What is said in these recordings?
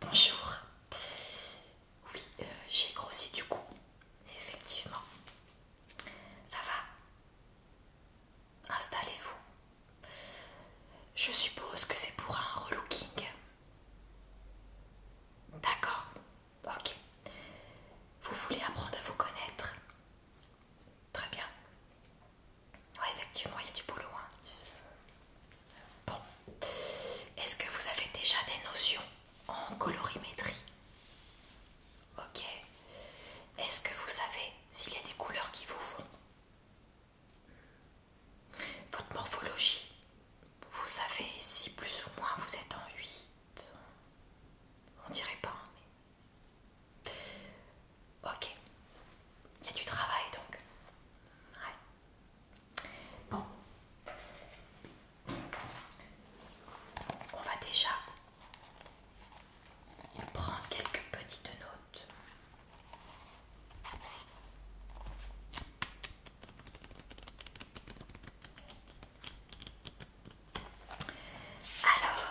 Bonjour. Oui, euh, j'ai grossi du coup. Effectivement. Ça va Installez-vous. Je suppose que c'est pour un relooking. D'accord. Ok. Vous voulez apprendre à vous connaître Très bien. Ouais, effectivement, il y a du boulot. Hein. Bon. Est-ce que vous avez déjà des notions en colorimétrie Ok. Est-ce que vous savez s'il y a des couleurs qui vous vont Votre morphologie Vous savez si plus ou moins vous êtes en 8 On dirait pas, hein, mais Ok, il y a du travail donc. Bon, on va déjà prendre quelques petites notes. Alors,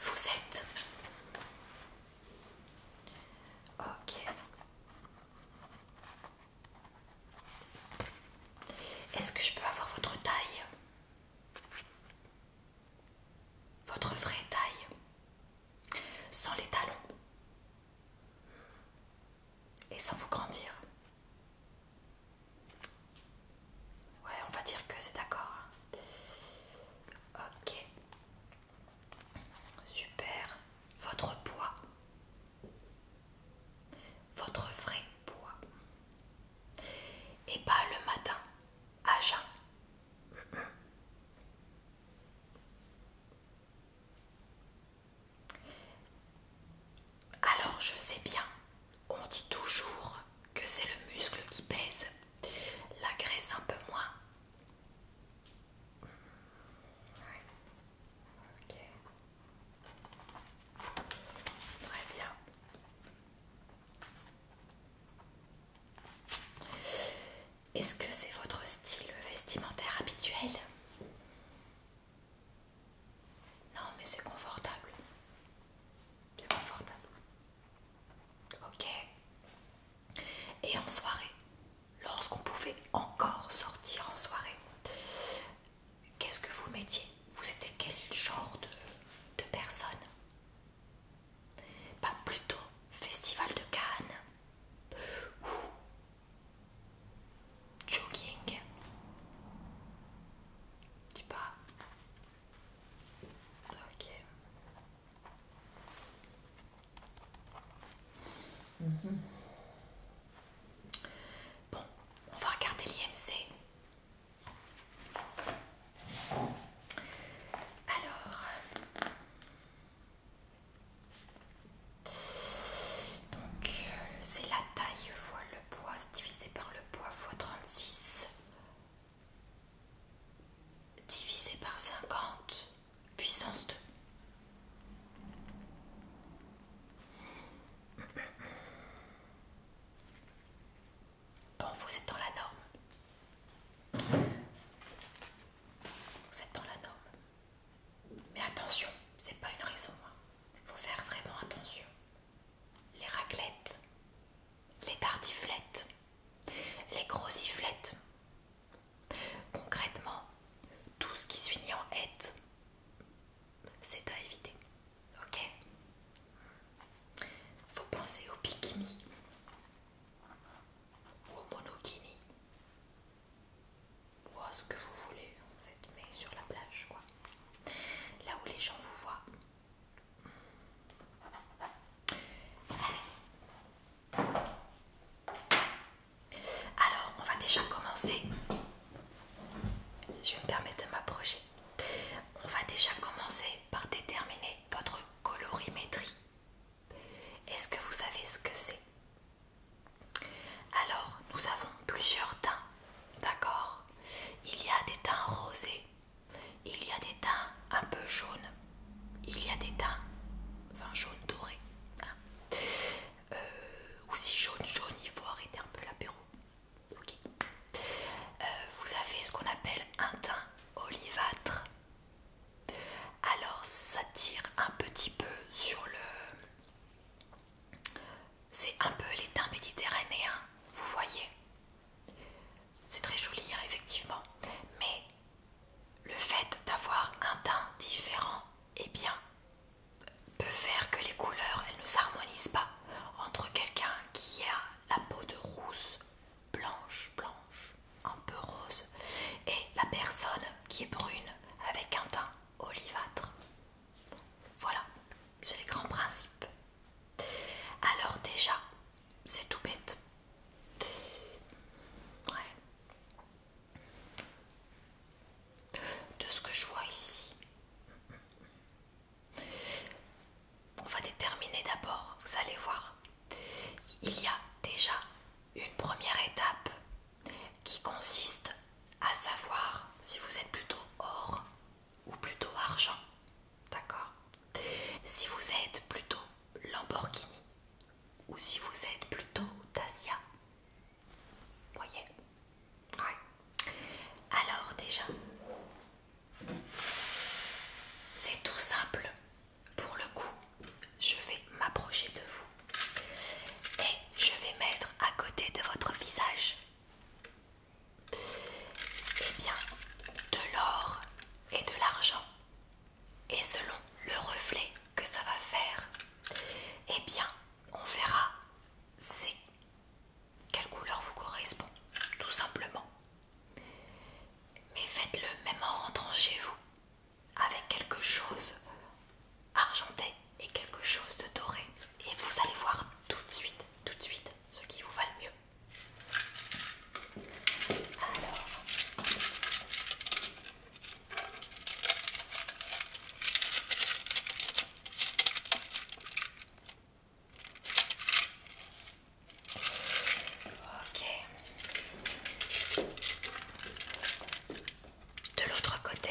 vous êtes Ok. Est-ce que je peux avoir votre taille Votre vraie taille Sans les talons et sans vous grandir. Ouais, on va dire que c'est d'accord. Ok. Super. Votre poids. Votre vrai poids. Et pas le matin, à jeun. Alors je sais bien, on dit toujours que c'est le muscle qui pèse, la graisse un peu moins. Très bien. Est-ce que c'est votre style vestimentaire habituel non, mais c'est confortable. C'est confortable. Ok. Et en soirée, lorsqu'on pouvait encore sortir en soirée, qu'est-ce que vous mettiez Vous étiez quel genre de, personne Pas plutôt festival de Cannes joking Tu pas. Ok. Mhm. Bon, on va regarder l'IMC. Alors, donc euh, c'est la taille fois le poids divisé par le poids fois 36 divisé par 50 puissance 2. Bon, vous êtes dans la norme. Vous êtes dans la norme. Mais attention, c'est pas une raison. Il hein. faut faire vraiment attention. Les raclettes, les tartiflettes, les grosiflettes, Concrètement, tout ce qui se finit en et », c'est à éviter. Ok Faut penser au bikini, ou au monokini, ou ce que vous voulez en fait, mais sur la plage quoi, là où les gens vous voient. Alors, on va déjà commencer. Je vais me permettre de m'approcher. On va déjà commencer par déterminer votre colorimétrie. Est-ce que vous savez ce que c'est alors, nous avons plusieurs teints, d'accord Il y a des teints rosés, il y a des teints un peu jaunes, il y a des teints, enfin jaune doré, ou hein. euh, si jaune jaune, il faut arrêter un peu l'apéro. Euh, vous avez ce qu'on appelle un teint olivâtre. Alors ça tire un petit peu sur le c'est un peu teints méditerranéen, vous voyez. C'est très joli, hein, effectivement. Mais le fait d'avoir un teint différent, eh bien, peut faire que les couleurs, elles ne s'harmonisent pas entre quelqu'un qui a la peau de rousse, blanche, blanche, un peu rose, et la personne qui est brune avec un teint olivâtre. Voilà, c'est les grands principes. Alors déjà, c'est tout bête. Ouais. De ce que je vois ici, on va déterminer d'abord, vous allez voir, il y a déjà une première étape qui consiste à savoir si vous êtes plutôt or ou plutôt argent. D'accord Si vous êtes plutôt Lamborghini ou si vous êtes plutôt Dacia. Voyez Ouais. Alors déjà, c'est tout simple. Pour le coup, je vais m'approcher de vous et je vais mettre à côté de votre visage eh de l'or et de l'argent et selon le reflet que ça va faire eh bien on verra quelle couleur vous correspond tout simplement mais faites-le même en rentrant chez vous avec quelque chose argenté et quelque chose de doré. Et vous allez voir tout de suite, tout de suite, ce qui vous va le mieux. Alors... Ok. De l'autre côté,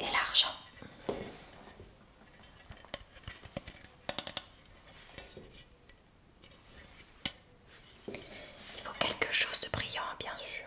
Et l'argent. Il faut quelque chose de brillant, bien sûr.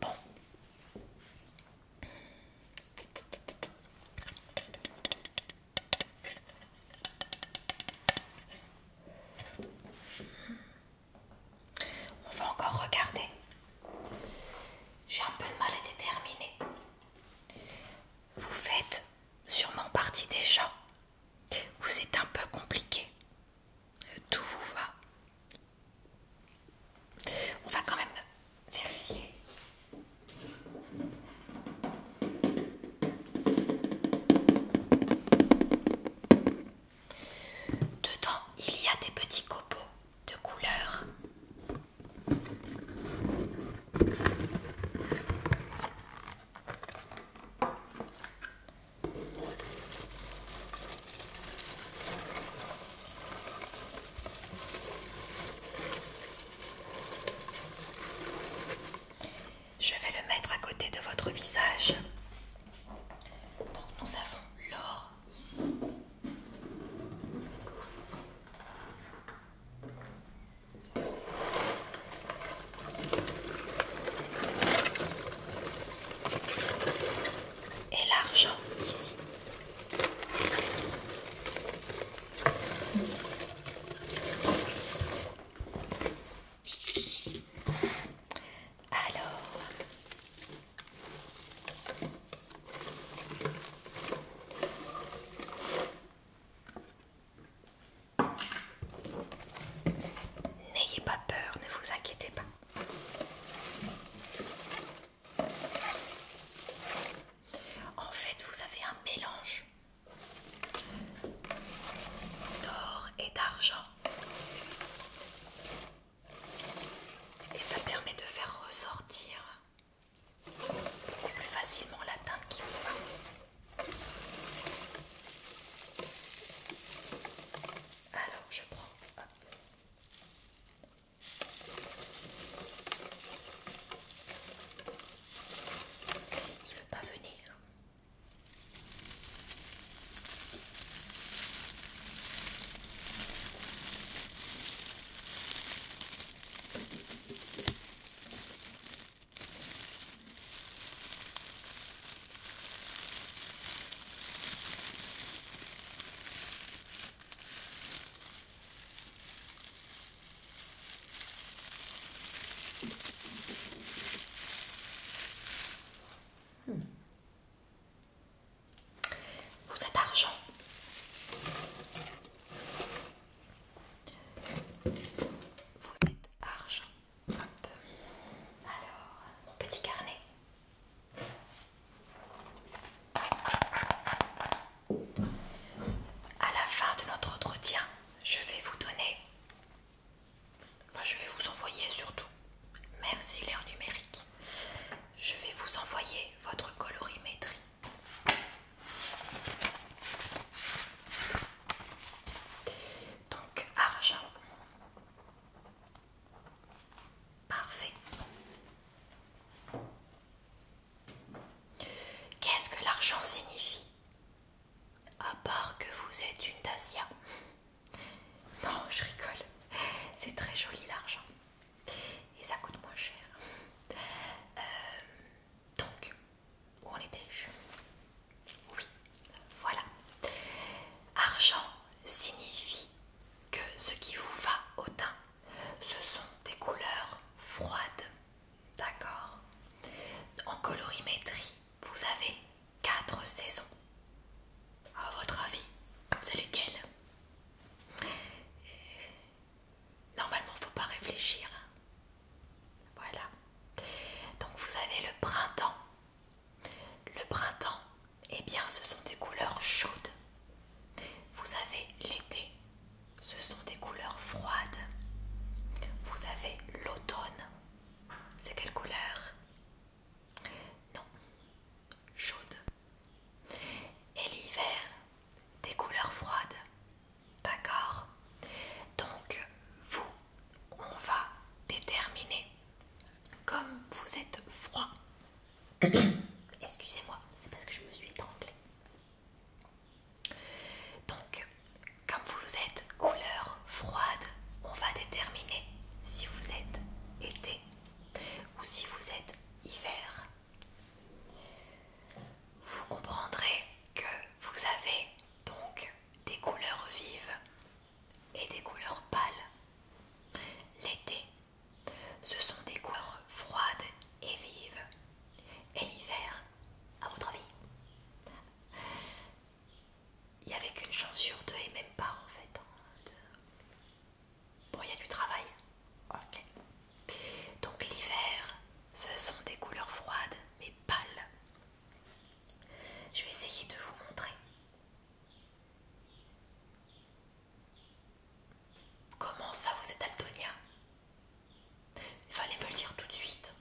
Bon. On va encore regarder. J'ai un peu de mal à déterminer. Vous faites sûrement partie des gens c'est un peu compliqué. Tout vous va. On va quand même vérifier. Dedans, il y a des petits copeaux de couleur. Je vais le mettre à côté de votre visage. Donc nous avons l'or et l'argent ici. Alors... N'ayez pas peur, ne vous inquiétez pas. En fait, vous avez un mélange d'or et d'argent. Et ça permet de faire ressortir plus facilement la teinte qui vous va. Alors je prends. Hop. Il veut pas venir. Vous êtes argent. Vous êtes argent. Alors, mon petit carnet. À la fin de notre entretien, je vais vous donner, enfin je vais vous envoyer surtout, Merci, s'il numérique, je vais vous envoyer votre colorimétrie. Donc argent, Parfait. Qu'est-ce que l'argent signifie À part que vous êtes une Dacia. Non, je rigole. C'est très joli l'argent. Et ça coûte moins cher. Euh, donc, où en étais-je oui, voilà. Argent signifie que ce qui vous va au teint, ce sont des couleurs froides. D'accord En colorimétrie, vous avez quatre saisons. À votre avis, c'est lesquelles Normalement, faut pas réfléchir. Voilà. Donc vous avez le printemps le printemps, eh bien, ce sont des couleurs chaudes. Vous avez l'été, ce sont des couleurs froides. Vous avez l'automne, c'est quelle couleur Non, chaude. Et l'hiver, des couleurs froides. D'accord Donc, vous, on va déterminer comme vous êtes froid. Excusez-moi, c'est parce que je me suis étranglée. Donc, comme vous êtes couleur froide, on va déterminer si vous êtes été ou si vous êtes hiver. Vous comprendrez que vous avez donc des couleurs vives et des couleurs pâles. L'été, ce sont des couleurs froides et vives. Et l'hiver, à votre avis il n'y avait qu'une chance sur deux et même pas en fait. Hein, bon, il y a du travail. Donc l'hiver, ce sont des couleurs froides mais pâles. Je vais essayer de vous montrer. Comment ça, vous êtes altonia Il fallait me le dire tout de suite.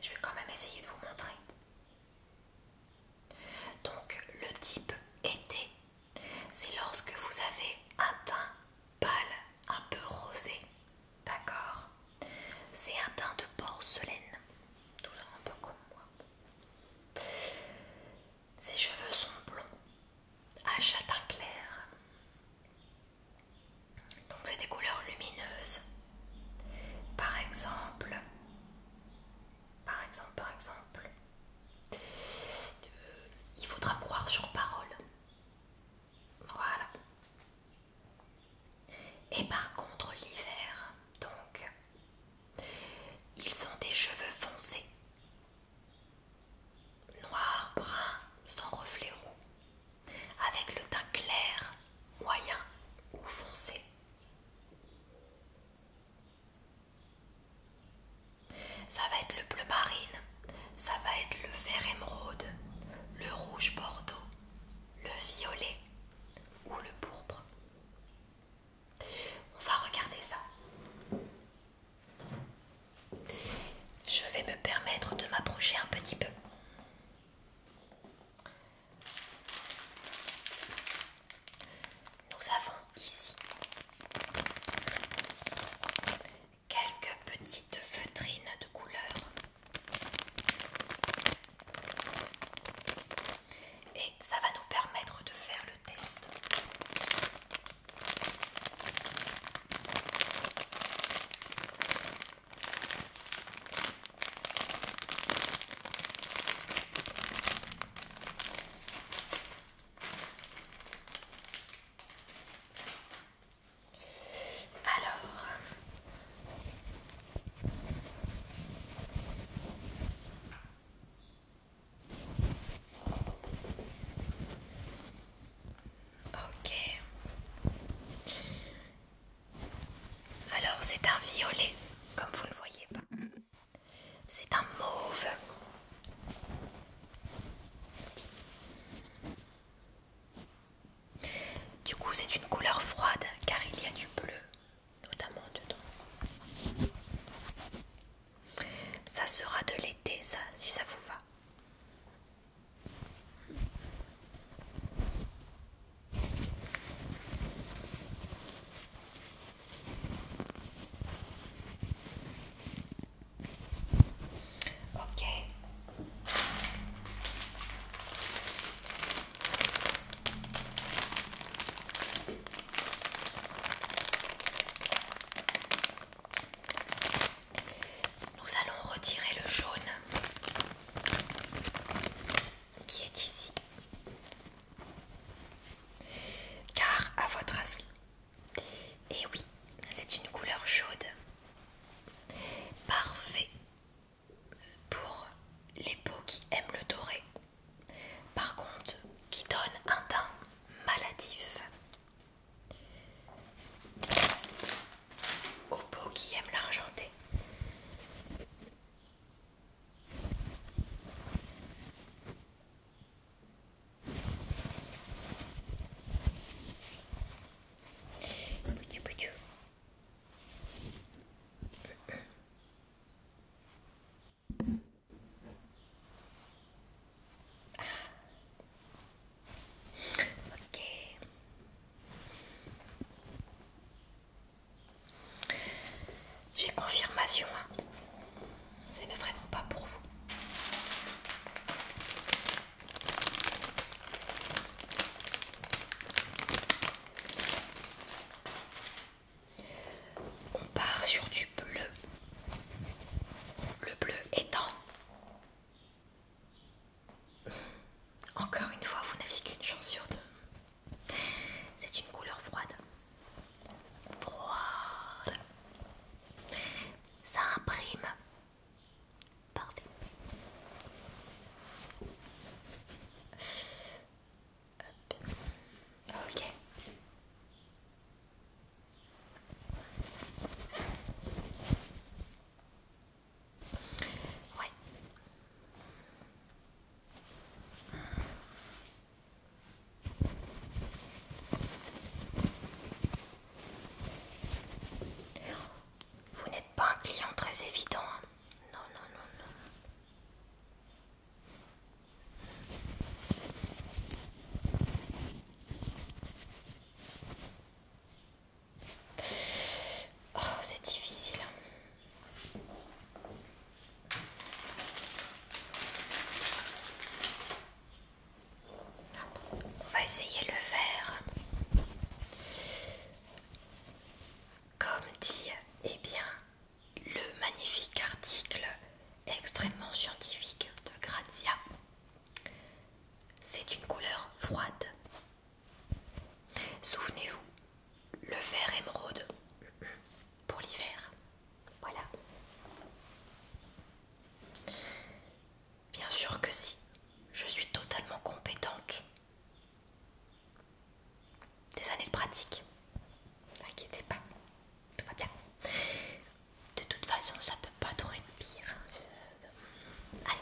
Je vais quand même essayer de vous montrer. Donc, le type été, c'est lorsque vous avez un teint pâle, un peu rosé. D'accord C'est un teint de porcelaine. Toujours un peu comme moi. Ses cheveux sont blonds, à châtain clair. Donc c'est des couleurs lumineuses. Par exemple, par exemple, par exemple, euh, il faudra croire sur parole. Voilà. Et par contre l'hiver, donc ils ont des cheveux foncés, noirs, bruns, sans reflets roux, avec le teint clair, moyen ou foncé. Ça va être le bleu marine, ça va être le vert émeraude, le rouge bordeaux, le violet ou le pourpre. On va regarder ça. Je vais me permettre de m'approcher un petit peu. Nous avons ici quelques petites feutrines de couleur et ça va nous permettre de faire le test. Alors, Ok. Alors c'est un violet, comme vous ne voyez pas. C'est un mauve. Du coup c'est une couleur froide car il y a du bleu, notamment dedans. Ça sera de l'été, ça, si ça vous va. Ok. Nous allons retirer le jaune qui est ici. Car à votre avis, et eh oui, c'est une couleur chaude. Parfait pour les peaux qui aiment le doré, par contre qui donne un teint maladif. Aux peaux qui aiment l'argenté. Ok. J'ai confirmation. Hein. C'est vraiment pas pour vous. On part sur du bleu. Le bleu étant... Encore une fois, vous n'aviez qu'une chance sur deux. C'est une couleur froide. Froide. Ça imprime. Parfait. Ok. Ouais. Vous n'êtes pas un client très évident. Hein. Non, non, non, non. Oh, c'est difficile. On va essayer le faire. Comme dit, eh bien, le magnifique article extrêmement scientifique de Grazia. C'est une couleur froide. Souvenez-vous, le vert émeraude pour l'hiver. Voilà. Bien sûr que si, je suis totalement compétente des années de pratique. N'inquiétez pas, tout va bien. De toute façon, ça peut pas tourner de pire. Allez.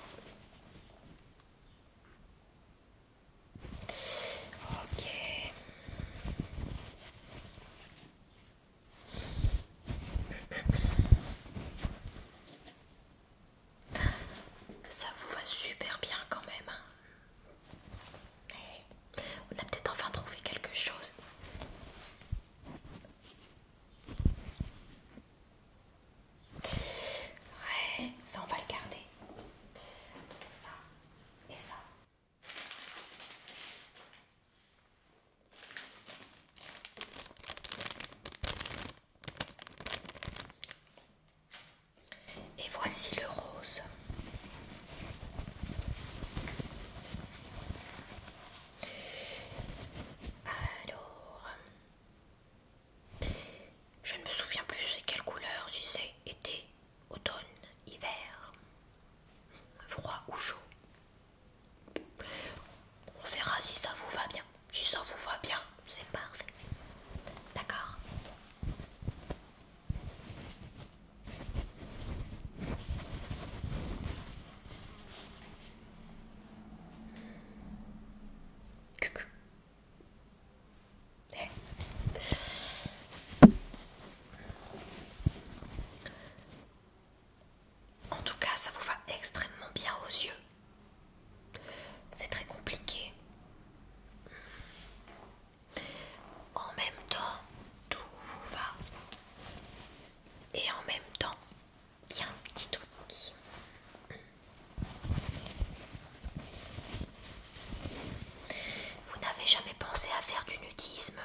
Ok. Ça vous va super bien quand même. Hein. On a peut-être enfin trouvé quelque chose. Ouais, ça on va le garder. Donc ça et ça. Et voici le rose. Alors, je ne me souviens plus c'est quelle couleur, si c'est été, automne, hiver, froid ou chaud. On verra si ça vous va bien. Si ça vous va bien, c'est parfait. D'accord en tout cas, ça vous va extrêmement bien aux yeux. C'est très compliqué. En même temps, tout vous va. Et en même temps, tiens, y a un petit truc qui... Vous n'avez jamais pensé à faire du nudisme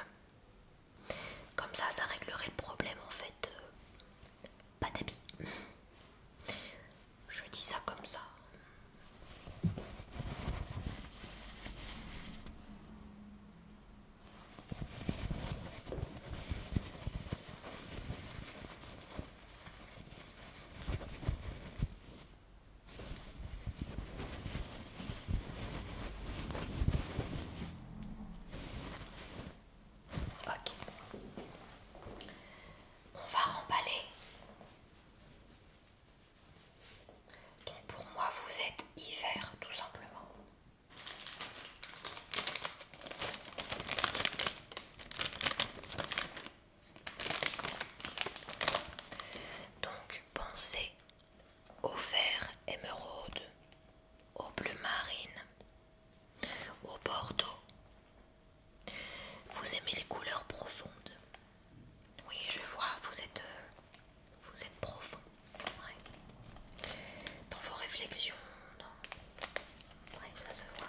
Comme ça, ça réglerait le problème en fait. Euh, pas d'habits. Je dis ça comme ça. Ok. On va remballer donc pour moi, vous êtes hiver tout simplement. Donc pensez au vert émeraude, au bleu marine, au bordeaux. Vous aimez les couleurs profondes, oui, je vois, vous êtes, euh, vous êtes profond dans vos réflexions. ça se voit.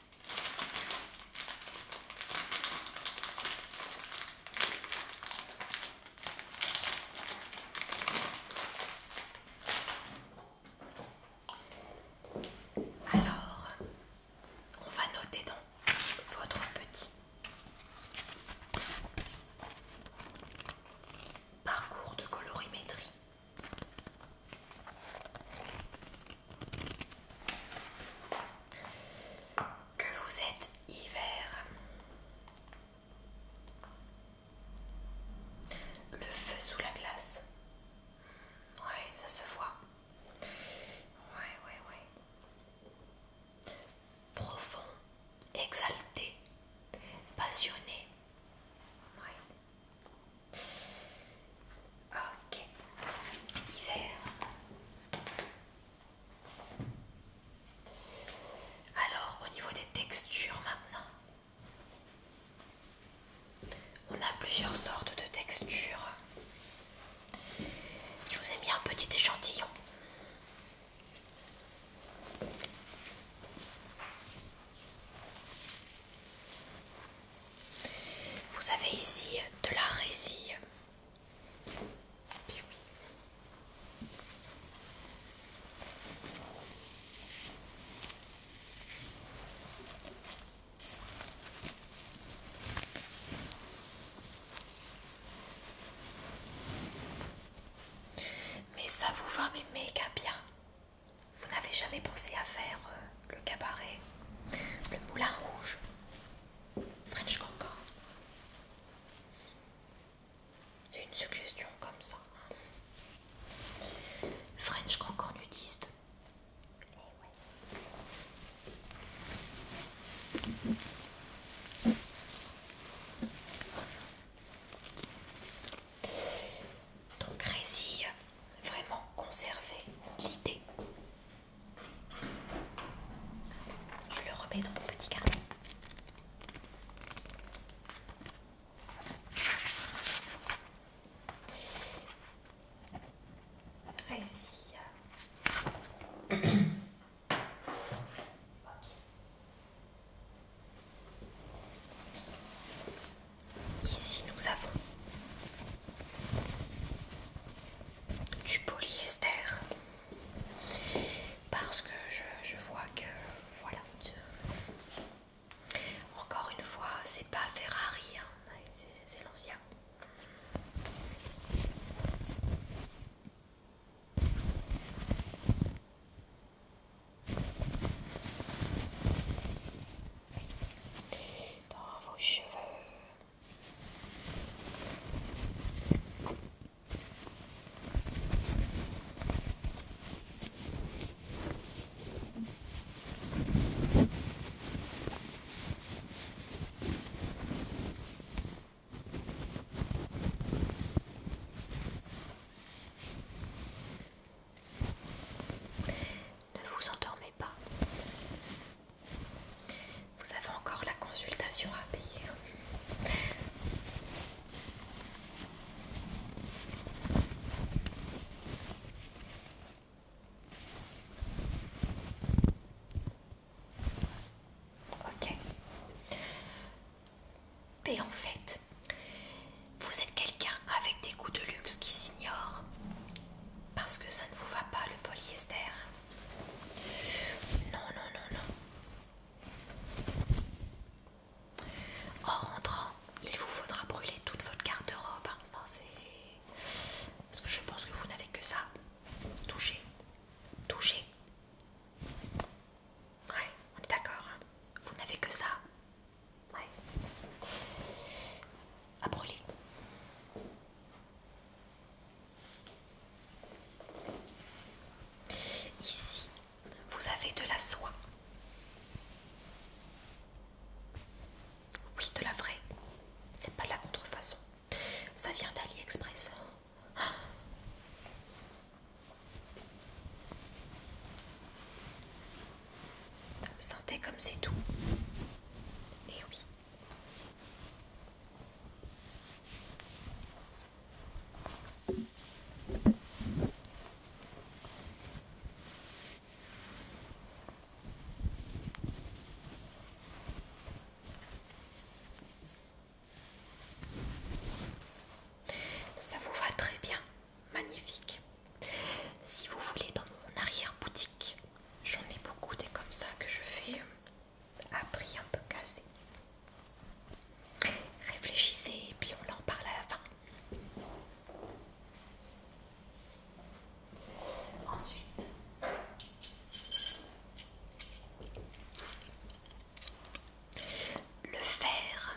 Alors, on va noter dans votre petit parcours de colorimétrie que vous êtes hiver. Le feu sous la glace. Ouais, ça se voit. Ouais, oui, Profond, exalté, passionné. Ok, hiver. Alors, au niveau des textures maintenant, on a plusieurs sortes de textures. Je vous ai mis un petit échantillon. Vous avez ici de la résille. Mais ça vous va, mais méga bien. Vous n'avez jamais pensé à faire euh, le cabaret, le moulin rouge French encore, C'est une suggestion comme ça. French Concord nudiste. Eh Donc résille vraiment conserver l'idée je le remets dans mon petit carnet. Ici, nous avons du polyester parce que je, vois que voilà encore une fois c'est pas Ferrari hein, c'est l'ancien dans vos cheveux ne vous endormez pas. Vous avez encore la consultation à payer. Ok. Et en fait, vous êtes quelqu'un avec des goûts de luxe qui s'ignorent, parce que ça ne vous va pas le polyester. Non, non, non, non. Oh, en rentrant, il vous faudra brûler toute votre garde-robe. Hein. Parce que je pense que vous n'avez que ça. Toucher. touchez. Ouais, on est d'accord. Hein. Vous n'avez que ça. Ouais. À brûler. Ici, vous avez de la soie. Oui, de la vraie. C'est pas de la contrefaçon. Ça vient d'AliExpress. Ah. Sentez comme c'est tout. Et eh oui. Ça vous va très bien, magnifique. Si vous voulez, dans mon arrière-boutique, j'en ai beaucoup des comme ça que je fais a pris un peu cassé. Réfléchissez et puis on en parle à la fin. Ensuite, le faire.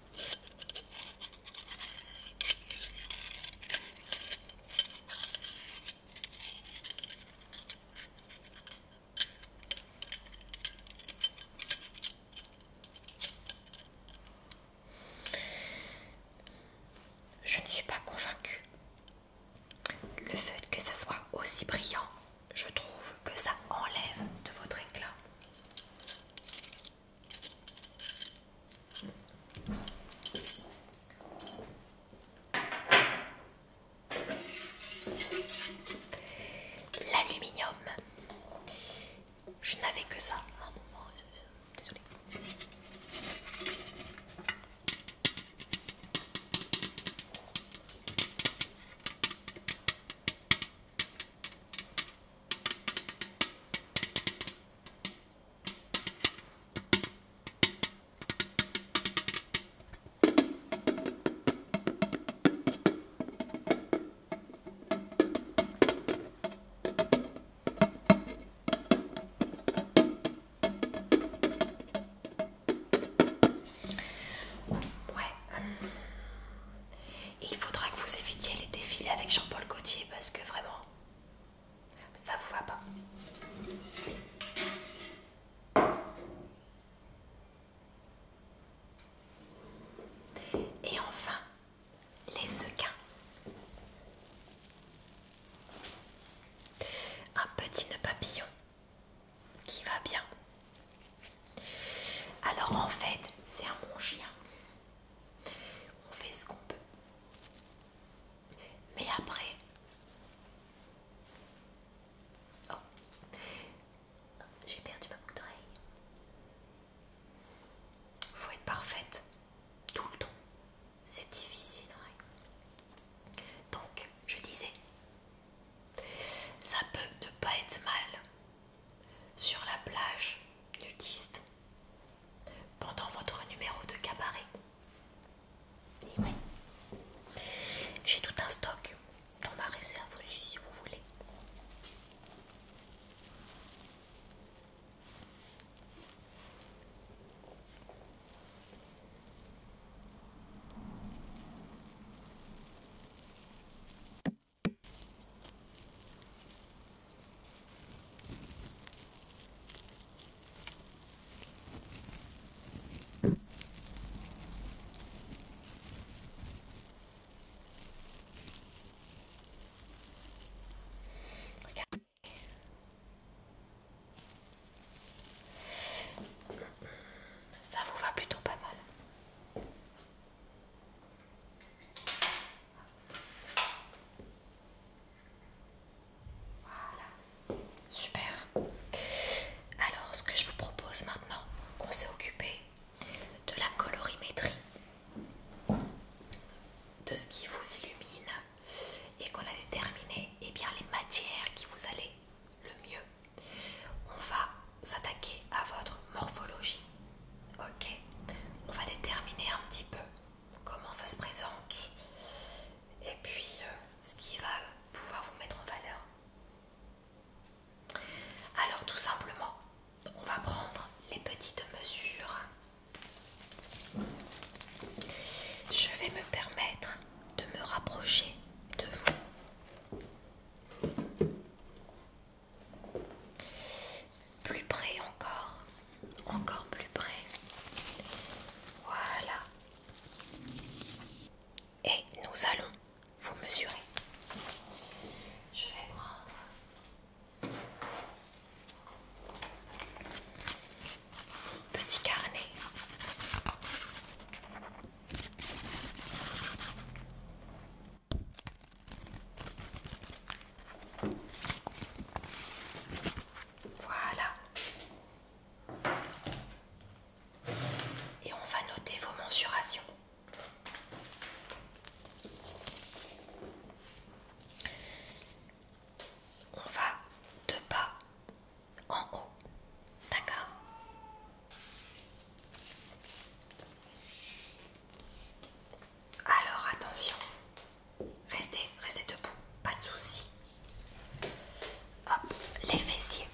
Je ne suis pas convaincue. Le fait que ça soit aussi brillant, je trouve que ça enlève de votre éclat. L'aluminium. Je n'avais que ça ah, Désolée. Ouais. Euh, il faudra que vous évitiez les défilés avec Jean-Paul Gaultier parce que vraiment, ça vous va pas Et enfin, les sequins. Un petit papillon qui va bien. Alors en fait, c'est un bon chien on fait ce qu'on peut. Mais après... Oh J'ai perdu ma boucle d'oreille. Faut être parfaite tout le temps. C'est difficile, hein. Donc, je disais, ça peut ne pas être mal sur la plage nudiste pendant votre numéro de cabaret. Eh j'ai tout un stock dans ma réserve aussi si vous voulez. Ça vous va plutôt pas mal. Voilà, super. Alors, ce que je vous propose maintenant, qu'on s'est occupé de la colorimétrie, de ce qui vous illumine, et qu'on a déterminé eh bien, les matières qui vous allaient le mieux, on va s'attaquer à votre morphologie. Ok, on va déterminer un petit peu comment ça se présente et puis euh, ce qui va pouvoir vous mettre en valeur. Alors tout simplement, on va prendre les petites mesures. Je vais me permettre de me rapprocher de vous plus près encore, encore plus près. Voilà. Et nous allons vous mesurer. Je vais prendre mon petit carnet. Voilà. Et on va noter vos mensurations. On va de bas en haut. D'accord Alors attention. Restez, restez debout, pas de soucis. Hop, les fessiers.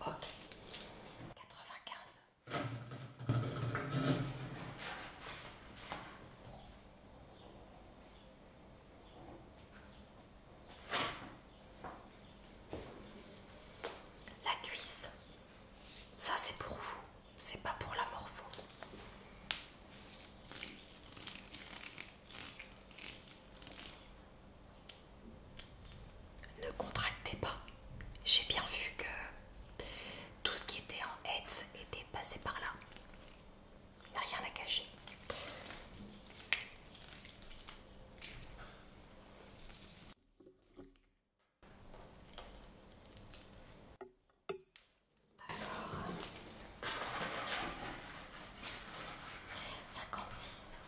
Ok. 95. La cuisse. Ça c'est pour vous, c'est pas pour la morveau. Ne contractez pas. J'ai bien vu que tout ce qui était en tête était passé par là. Il n'y a rien à cacher. 56.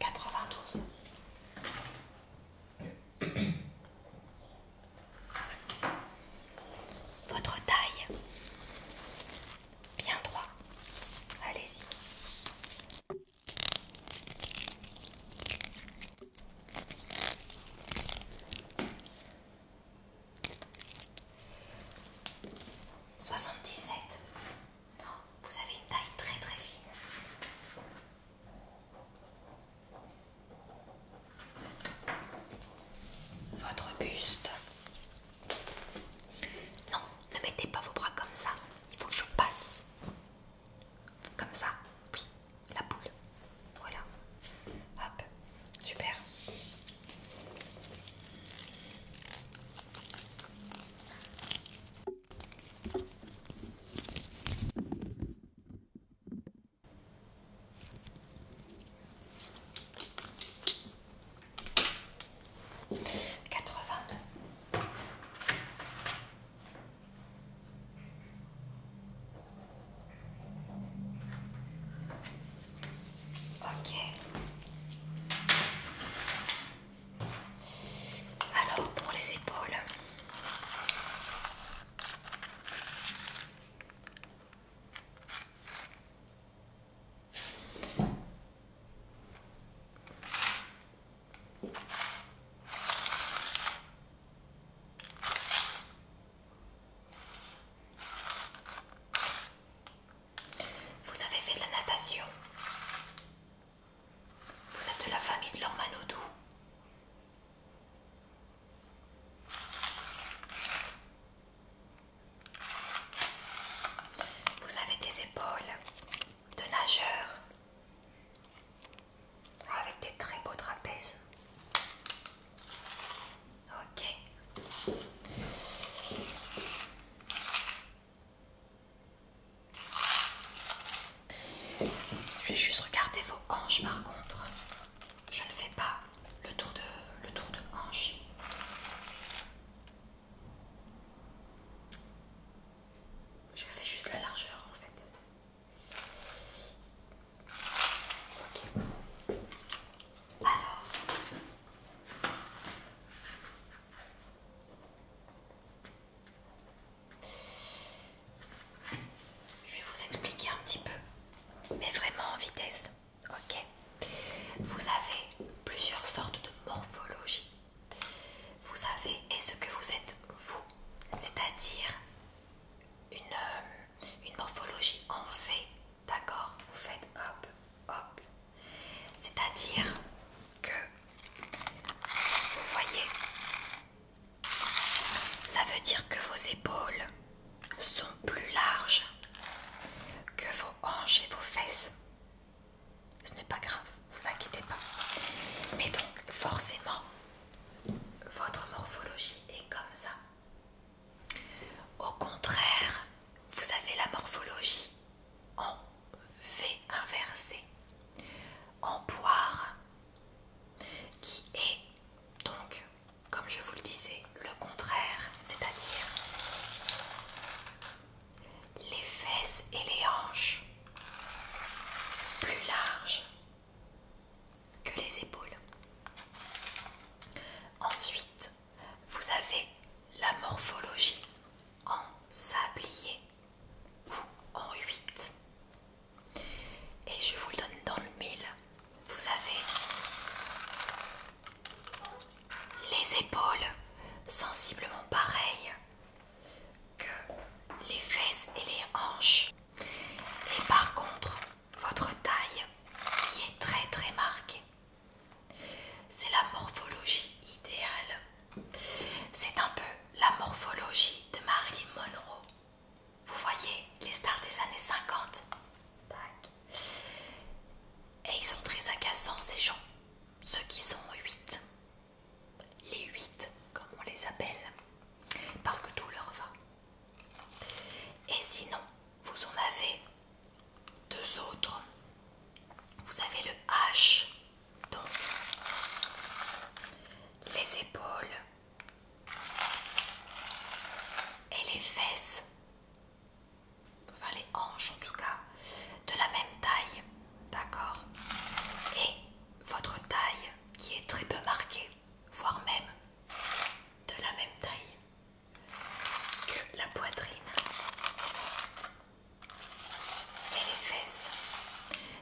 92. Votre taille. Bien droit. Allez-y. 77. Non, vous avez une taille très très fine. Votre buste. Non, ne mettez pas vos bras comme ça. Il faut que je passe. Comme ça. Oui, la boule. Voilà. Hop. Super. 82. Ok. Alors pour les épaules. Vous avez fait de la natation. Vous êtes de la famille de l'Ormanodou. Vous avez des épaules de nageurs avec des très beaux trapèzes. Ok. Je vais juste regarder vos hanches par contre. Je ne fais pas le tour de le tour de hanche. Je fais juste la largeur en fait. Ok. Alors. Je vais vous expliquer un petit peu, mais vraiment en vitesse. Ok. Vous avez plusieurs sortes de morphologies. Vous savez et ce que vous êtes vous, c'est-à-dire une, euh, une morphologie en V, d'accord Vous faites hop, hop. C'est-à-dire que vous voyez, ça veut dire que vos épaules sont plus larges que vos hanches et vos fesses ce n'est pas grave, vous inquiétez pas. Mais donc, forcément, votre morphologie est comme ça. Au contraire, vous avez la morphologie en V inversé, en poire, qui est donc, comme je vous le disais, le contraire, c'est-à-dire les fesses et les hanches plus large que les épaules. Ensuite, vous avez la morphologie en sablier ou en huit. Et je vous le donne dans le mille. Vous avez les épaules sensiblement pareilles que les fesses et les hanches. Et par contre, votre taille qui est très très marquée. C'est la morphologie idéale. C'est un peu la morphologie de Marilyn Monroe. Vous voyez les stars des années 50. Et ils sont très agaçants ces gens. Ceux qui sont 8 les huit, comme on les appelle, parce que tout leur va. Et sinon, vous en avez deux autres. Vous avez le H, donc les épaules et les fesses, enfin les hanches en tout cas, de la même taille, d'accord Et votre taille qui est très peu marquée, voire même de la même taille que la poitrine et les fesses.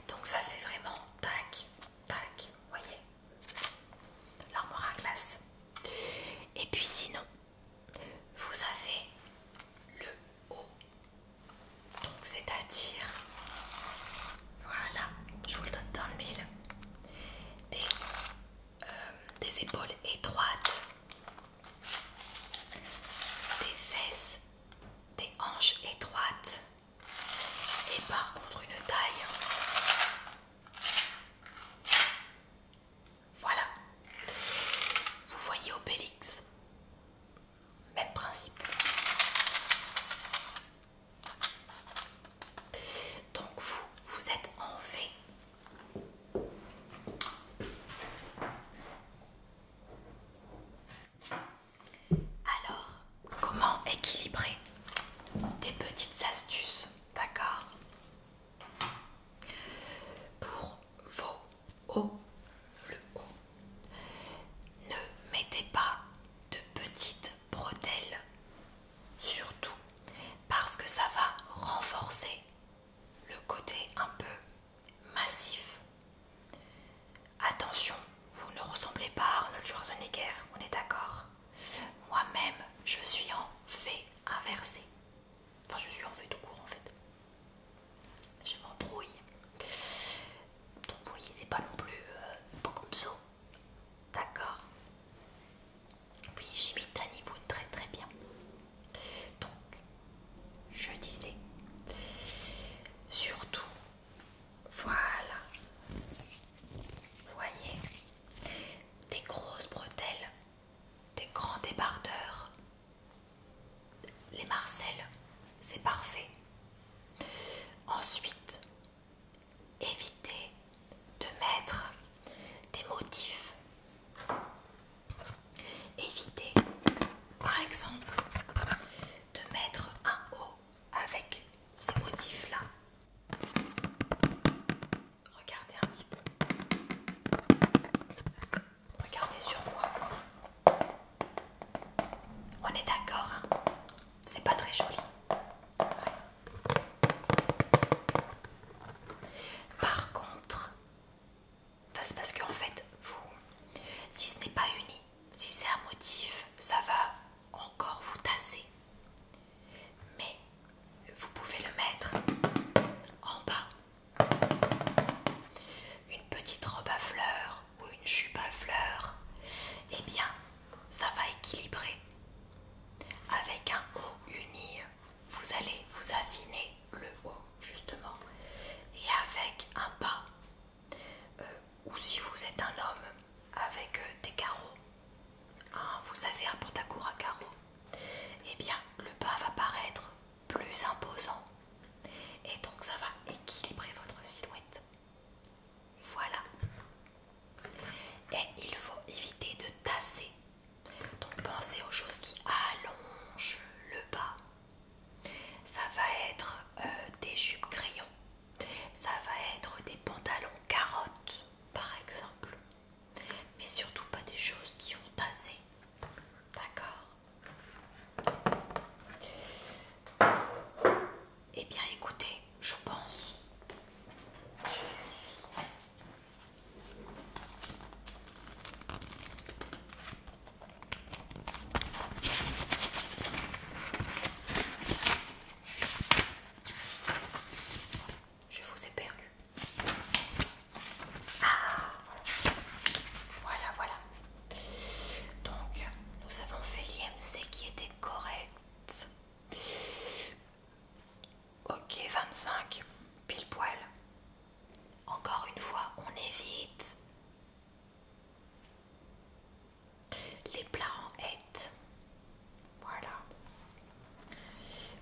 Donc ça fait vraiment tac, tac, voyez, l'armoire à glace. Et puis sinon, vous avez le haut donc c'est-à-dire, voilà, je vous le donne dans le mille, des, euh, des épaules étroites, des fesses, des hanches étroites et par contre une taille. Voilà. Vous voyez Obélix même principe. Donc vous, vous êtes en V. Alors, comment équilibrer Des petites astuces, d'accord Pour vos hauts, le haut ne mettez pas de petites bretelles, surtout parce que ça va renforcer le côté un peu massif. Attention, vous ne ressemblez pas à Arnold Schwarzenegger, on est d'accord Moi-même, je suis en fait inversé. Enfin, je suis en fait tout court en fait. Je m'embrouille. Donc vous voyez, c'est pas non plus euh, D'accord Oui, j'imite Tani Boone très très bien. Donc, je disais, surtout, voilà, voyez, des grosses bretelles, des grands débardeurs, les marcelles, c'est parfait. Ensuite, évitez de mettre des motifs. Évitez, par exemple, de mettre un haut avec ces motifs-là. Regardez un petit peu. Regardez sur moi. On est d'accord, hein. c'est pas très joli. Par contre, c'est parce que en fait, vous, si ce n'est pas uni, si c'est un motif, ça va encore vous tasser. Mais vous pouvez le mettre en bas. Une petite robe à fleurs ou une jupe à fleurs, eh bien, ça va équilibrer. Avec un haut uni, vous allez vous affiner le haut, justement. Et avec un bas, euh, ou si vous êtes un homme, avec euh, des carreaux, hein, vous avez un pantacourt à carreaux, eh bien, le bas va paraître plus imposant. Et donc, ça va équilibrer votre silhouette. Voilà. Et il faut éviter de tasser. Donc pensez aux choses qui allongent le bas. Ça va être euh, des jupes crayons. Ça va être des pantalons carottes, par exemple. Mais surtout pas des choses qui vont tasser. D'accord eh bien écoutez, je pense. Je vous ai perdu. Ah Voilà, voilà. Donc, nous avons fait l'IMC qui était correct. Ok, 25, pile poil. Encore une fois, on évite les plats en Voilà.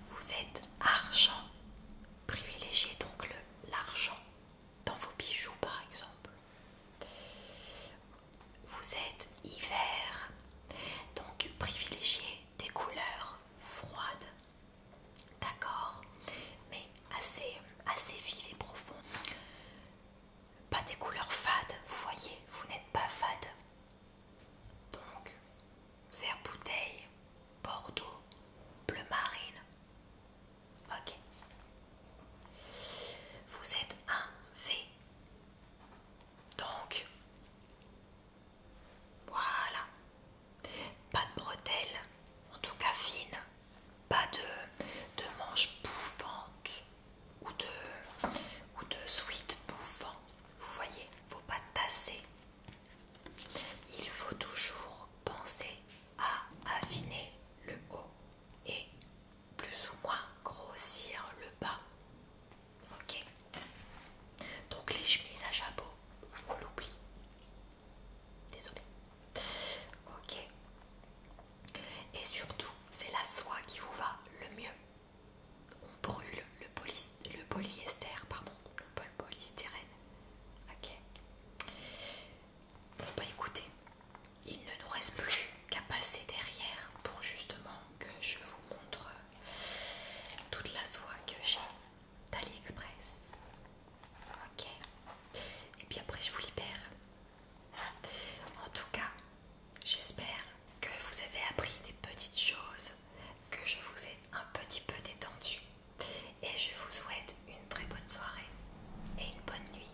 Vous êtes argent. Privilégiez donc l'argent dans vos bijoux, par exemple vous êtes hiver, donc privilégiez des couleurs froides, d'accord, mais assez, assez vives et profondes. Pas des couleurs fades, vous voyez, vous n'êtes pas fade. Donc, vert bouteille, bordeaux, bleu marine, Ok. Vous êtes un V. Donc, voilà. Pas de bretelles, en tout cas fines. Pas de, de manches bouffantes ou de, ou de vous bouffant. Vous voyez, faut pas tasser. Il faut toujours penser à affiner le haut et plus ou moins grossir le bas. Ok Donc les chemises à jabot, on l'oublie. désolé, Ok. Et surtout, c'est la soie qui vous va le mieux. On brûle le, le polyester, pardon, le polystérène Ok. Bon bah, pas écoutez, il ne nous reste plus qu'à passer derrière pour justement que je vous montre euh, toute la soie que j'ai d'AliExpress. Ok. Et puis après je vous libère. En tout cas, j'espère que vous avez appris des petites choses, que je vous ai un petit peu détendu. Et je vous souhaite une très bonne soirée et une bonne nuit.